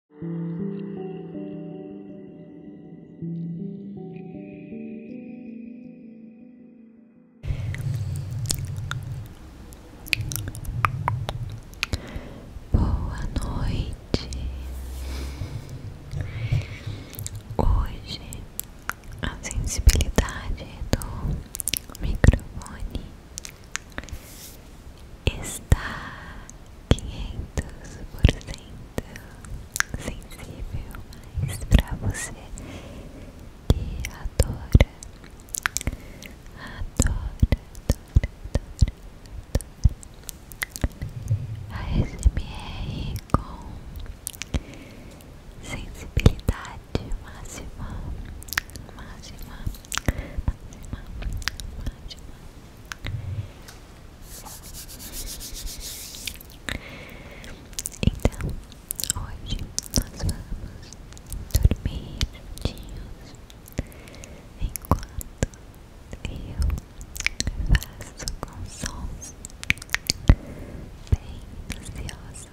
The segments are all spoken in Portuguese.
Boa noite. Hoje a sensibilidade do microfone está quinhentos por cento sensível, mas para você que adora, adora, adora, adora, adora a SMR com sensibilidade máxima, máxima, máxima, máxima. Então, hoje nós vamos dormir juntinhos enquanto eu faço com sons bem ansioso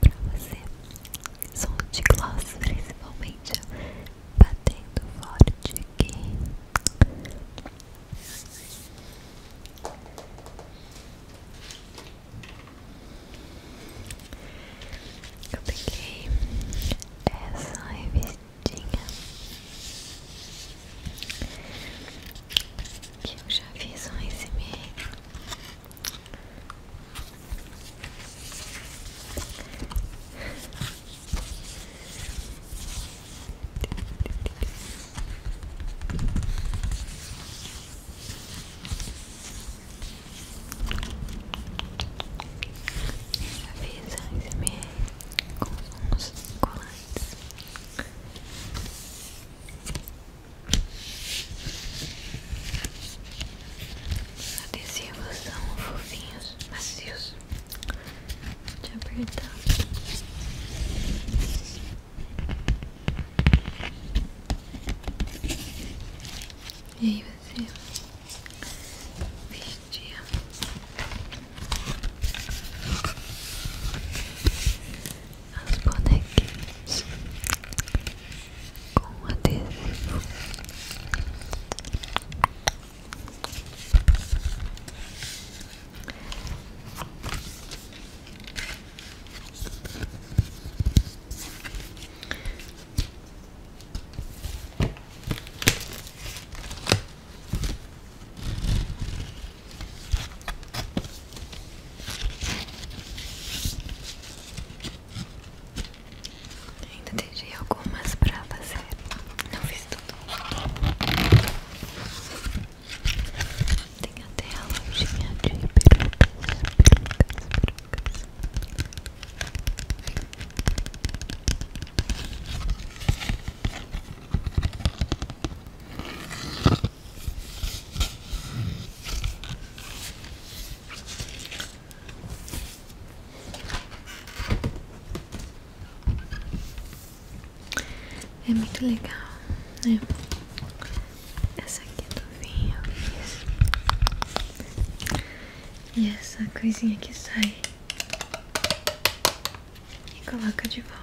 para você som de gloss principalmente batendo forte aqui eu peguei essa revistinha que eu já fiz um SMR Avisa SMR com os colantes. A adesivos fofinhos, macios. Vou te apertar. E aí você vestia as bonequinhas com adesivo. Ainda deixei algumas pra fazer. Não fiz tudo. Tem até a lojinha de perucas, perucas, perucas. É muito legal, né? Essa aqui do vinho E essa coisinha que sai e coloca de volta.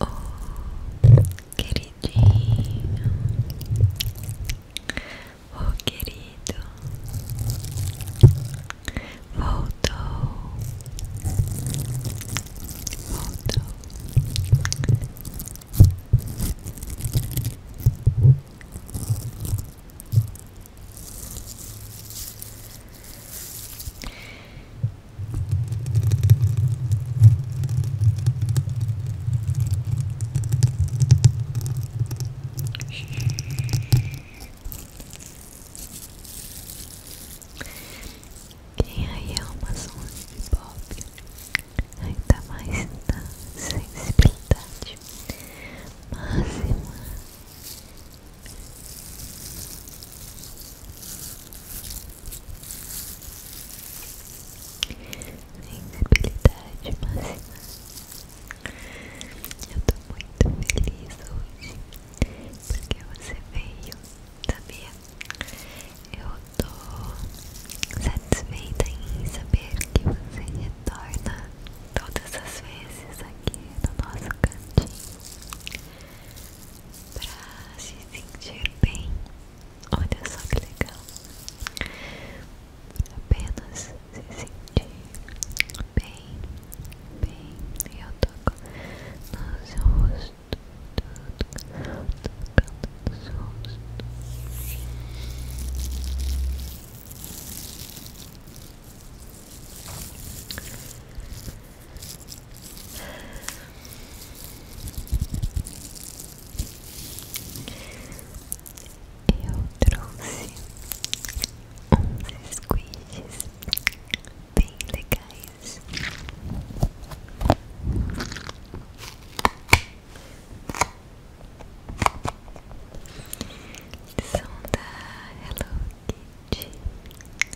Oh, queridinho. Oh, querido. Voltou. Voltou. Quem aí é uma zona de pop ainda mais na sensibilidade máxima Sensibilidade máxima. Eu tô muito feliz hoje porque você veio, sabia? Eu tô satisfeita em saber que você retorna todas as vezes aqui no nosso cantinho pra se sentir bem Olha só que legal. Apenas se sentir bem, bem. e Eu toco no seu rosto, tocando no seu rosto. Eu trouxe uns squishes bem legais. São da Hello Kitty.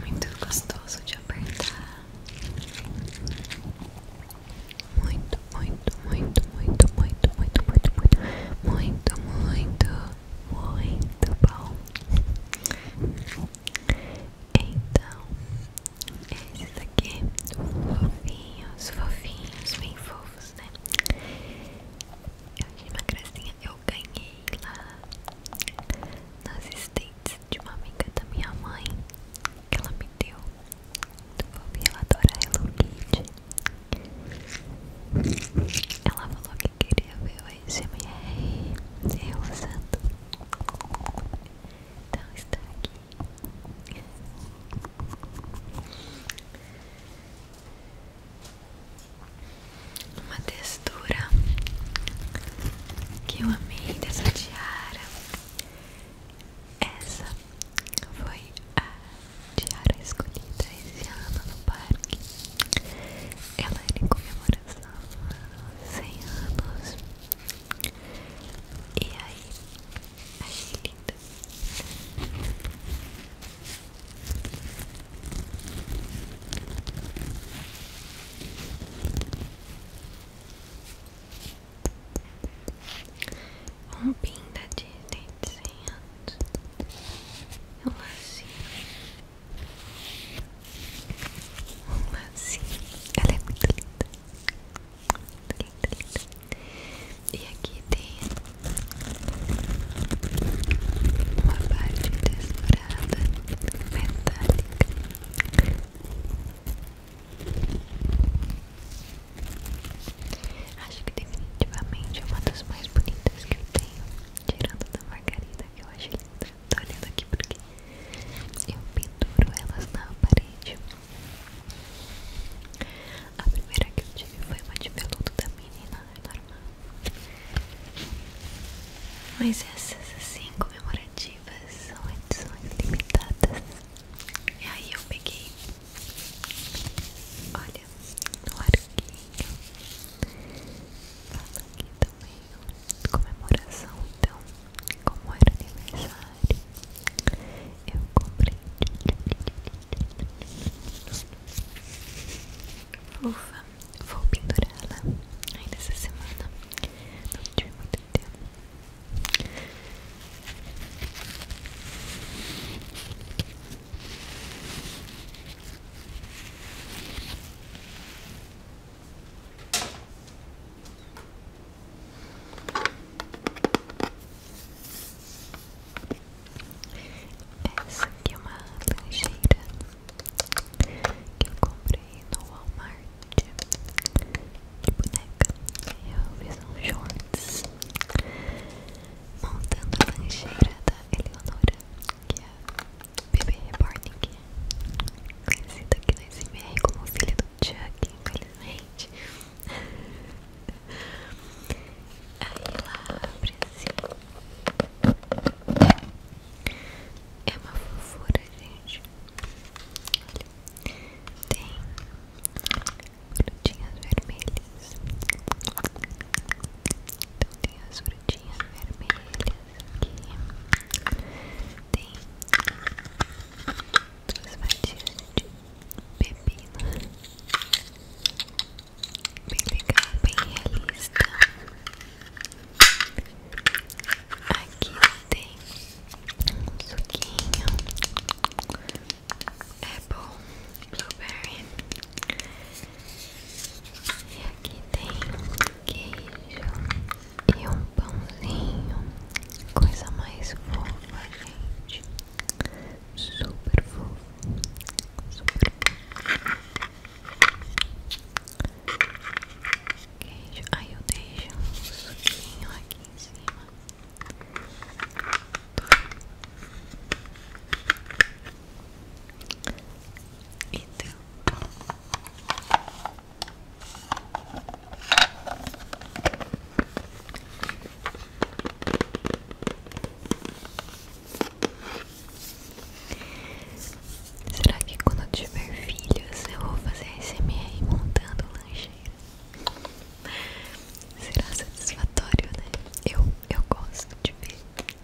Muito gostoso de apertar. Muito, muito, muito, muito, muito, muito, muito, muito, muito, muito, muito bom. Então, esses aqui, fofinhos, fofinhos, bem fofos. Né? Eu achei uma gracinha, eu ganhei lá nas estentes de uma amiga da minha mãe que ela me deu. Muito ela adora Hello Kitty. Ela falou que queria ver o SMR eu usando. Então está aqui. Uma textura que eu amei dessa tiara. Essa foi a tiara escolhida esse ano no parque. Ela era em comemoração aos 100 anos. E aí, achei linda nada. Um pinda de desenhando um lacinho. Um lacinho. Ela é muito linda. E aqui tem uma parte tesourada metálica. Acho que definitivamente é uma das mais bonitas que eu tenho, tirando da margarida que eu acho linda. Tô olhando aqui porque eu penduro elas na parede. A primeira que eu tive foi uma de peludo da menina, é normal. Mas essas assim, comemorativas, são edições limitadas. E aí eu peguei, olha, no arquinho. Fala aqui também, comemoração então, como era aniversário eu comprei. Ufa, vou pinturá la ainda essa semana. Não tive muito tempo. Essa aqui é uma lancheira que eu comprei no Walmart de boneca. Eu fiz um shorts montando a lancheira da Eleonora, que é a bebê reborn, é conhecida aqui na SMR como filha do Chuck, infelizmente. Aí lá abre É uma fofura, gente. Olha. Tem frutinhas vermelhas. Então tem as frutinhas vermelhas aqui. Tem duas fatias de pepino. Bem legal, bem realista. Aqui tem um suquinho. Apple, blueberry. E aqui tem queijo e um pãozinho. Coisa mais fofa, gente super fofo, super Queijo, aí eu deixo um suquinho aqui em cima. e Então, Será que quando eu tiver filhos eu vou fazer SMR montando lancheira? Será satisfatório, né? Eu, eu gosto de ver,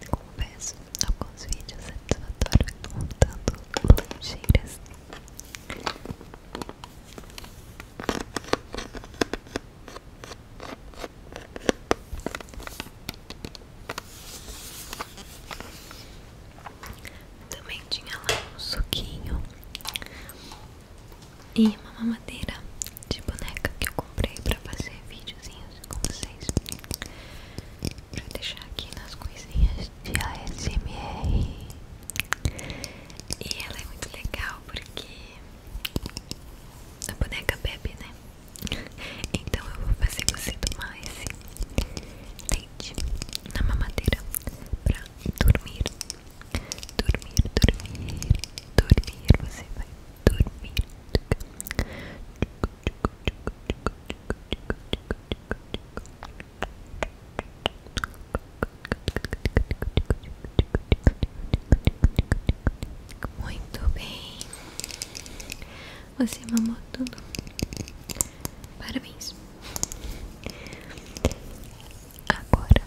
confesso, alguns vídeos satisfatórios montando lancheiras. Também tinha lá um suquinho e uma mamadeira de boneca que eu comprei pra fazer videozinhos com vocês. Pra deixar aqui nas coisinhas de ASMR. E ela é muito legal porque a boneca bebe, né? Então eu vou fazer você tomar esse leite na mamadeira pra dormir. Dormir, dormir, dormir. Você vai dormir. Muito bem. Você mamou tudo. Parabéns. Agora.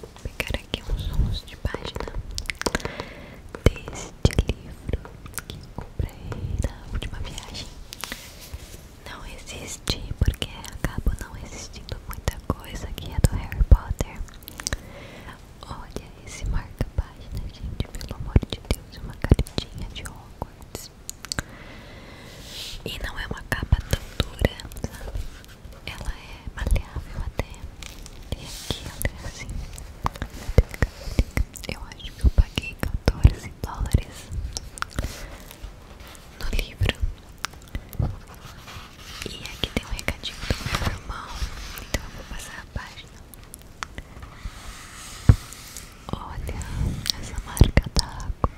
Vou pegar aqui uns sons de página. Desde este livro que eu comprei na última viagem não existe porque acaba não existindo muita coisa aqui é do Harry Potter. Olha esse marca-página, gente, pelo amor de Deus, uma canetinha de Hogwarts. E não é uma capa tão dura, sabe? Ela é maleável até. E aqui ela é assim. Eu acho que eu paguei 14 dólares no livro. E aqui tem um recadinho do meu irmão. Então eu vou passar a página. Olha essa marca da água.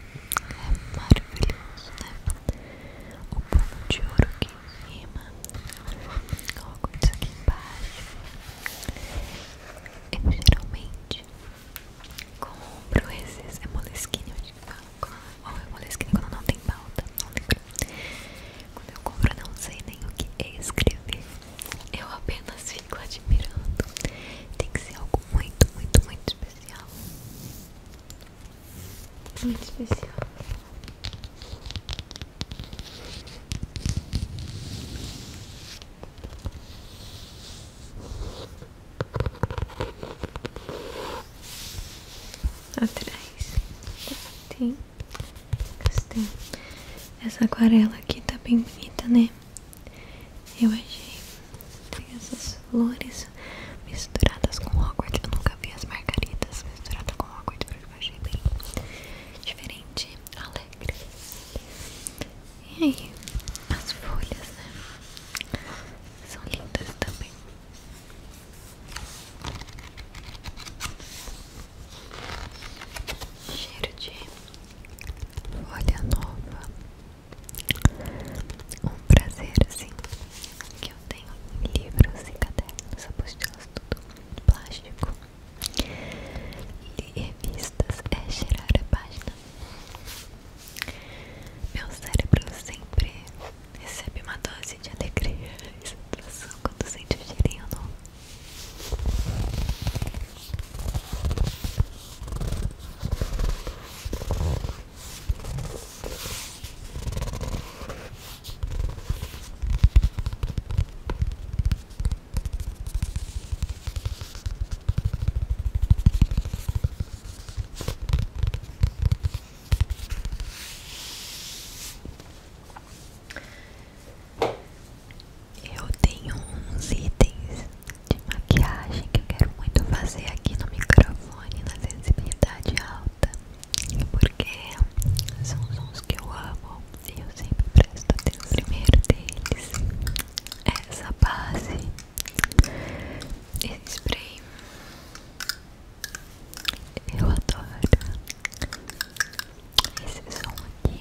É maravilhoso, né? O pano de ouro que em cima, coloco isso aqui embaixo. Eu geralmente compro esses é moleskine, eu ou é moleskine quando não tem pauta, não lembro. Quando eu compro, não sei nem o que é escrever, eu apenas fico admirando. Tem que ser algo muito, muito, muito especial. Muito especial. Atrás tem castanho. Essa aquarela aqui tá bem bonita, né? Eu achei. Tem essas flores misturadas com Hogwarts. Eu nunca vi as margaridas misturadas com Hogwarts porque eu achei bem diferente, alegre. E aí, as folhas, né? São lindas também. Cheiro de folha nova. Um prazer, assim, que eu tenho livros e cadernos, apostilas, tudo plástico. Ler revistas é cheirar a página. Meu cérebro sempre recebe uma dose de alegria e satisfação quando sente o cheirinho novo. Eu tenho uns itens de maquiagem que quero muito fazer aqui no microfone na sensibilidade alta porque são sons que eu amo e eu sempre presto atenção. O primeiro deles essa base, esse spray. Eu adoro esse som aqui.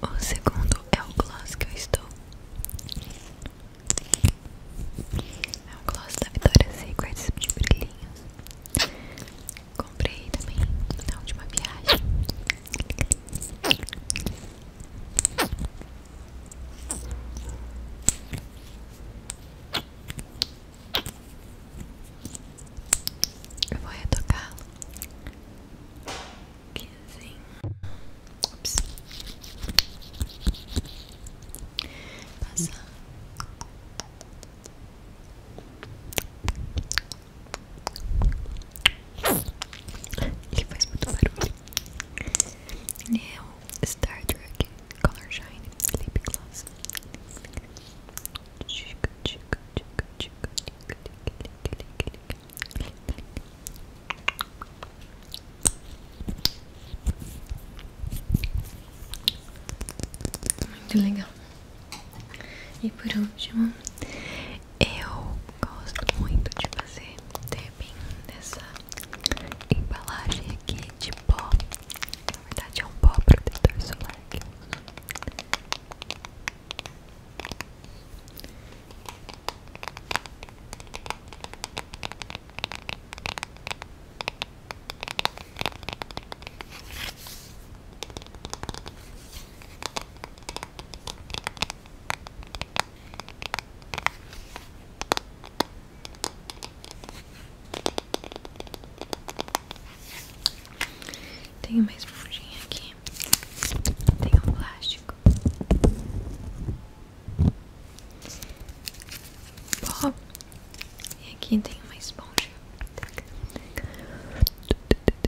O segundo é o gloss que eu estou. É o gloss da Vitória Secrets de brilhinho. Comprei também na última viagem. Eu vou retocá-lo. Que assim. Ups. Passar. Ele faz muito barulho. Neo Star Trek Color Shine Lip Gloss. Muito legal. E por último, eu gosto muito de fazer tapping nessa embalagem aqui de pó. Na verdade é um pó protetor solar que eu uso. Tenho mais esponjinha aqui. Tem um plástico. Pó. E aqui tem mais esponja.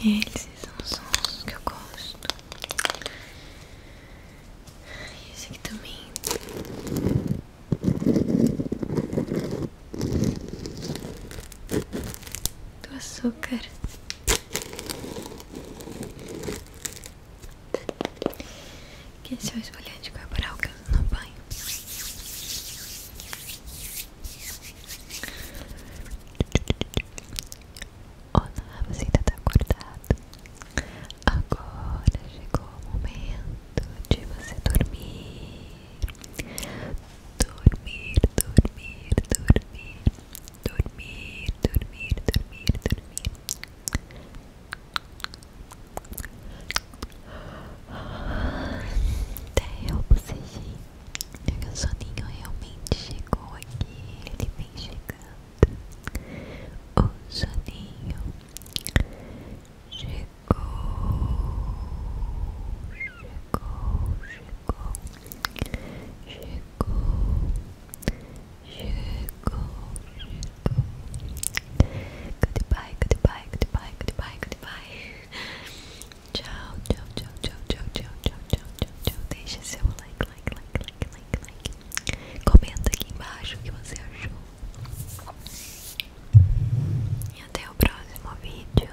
Esses são sons que eu gosto. esse aqui também. Do açúcar. Que esse é o esfoliante corporal que eu uso no banho. Olá, você ainda tá acordado? Agora chegou o momento de você dormir. Dormir, dormir, dormir. Dormir, dormir, dormir, dormir. Até eu bocejei o soninho realmente chegou aqui, ele vem chegando. O soninho chegou, chegou, chegou, chegou, chegou, chegou. Goodbye, goodbye, goodbye, goodbye, goodbye. Tchau, tchau, tchau, tchau, tchau, tchau, tchau, tchau, tchau, tchau. Deixa seu like, like, like, like, like, like. Comenta aqui embaixo o que você achou. E até o próximo vídeo.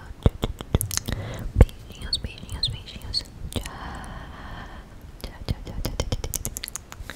Beijinhos, beijinhos, beijinhos. Tchau. Tchau, tchau, tchau, tchau, tchau, tchau.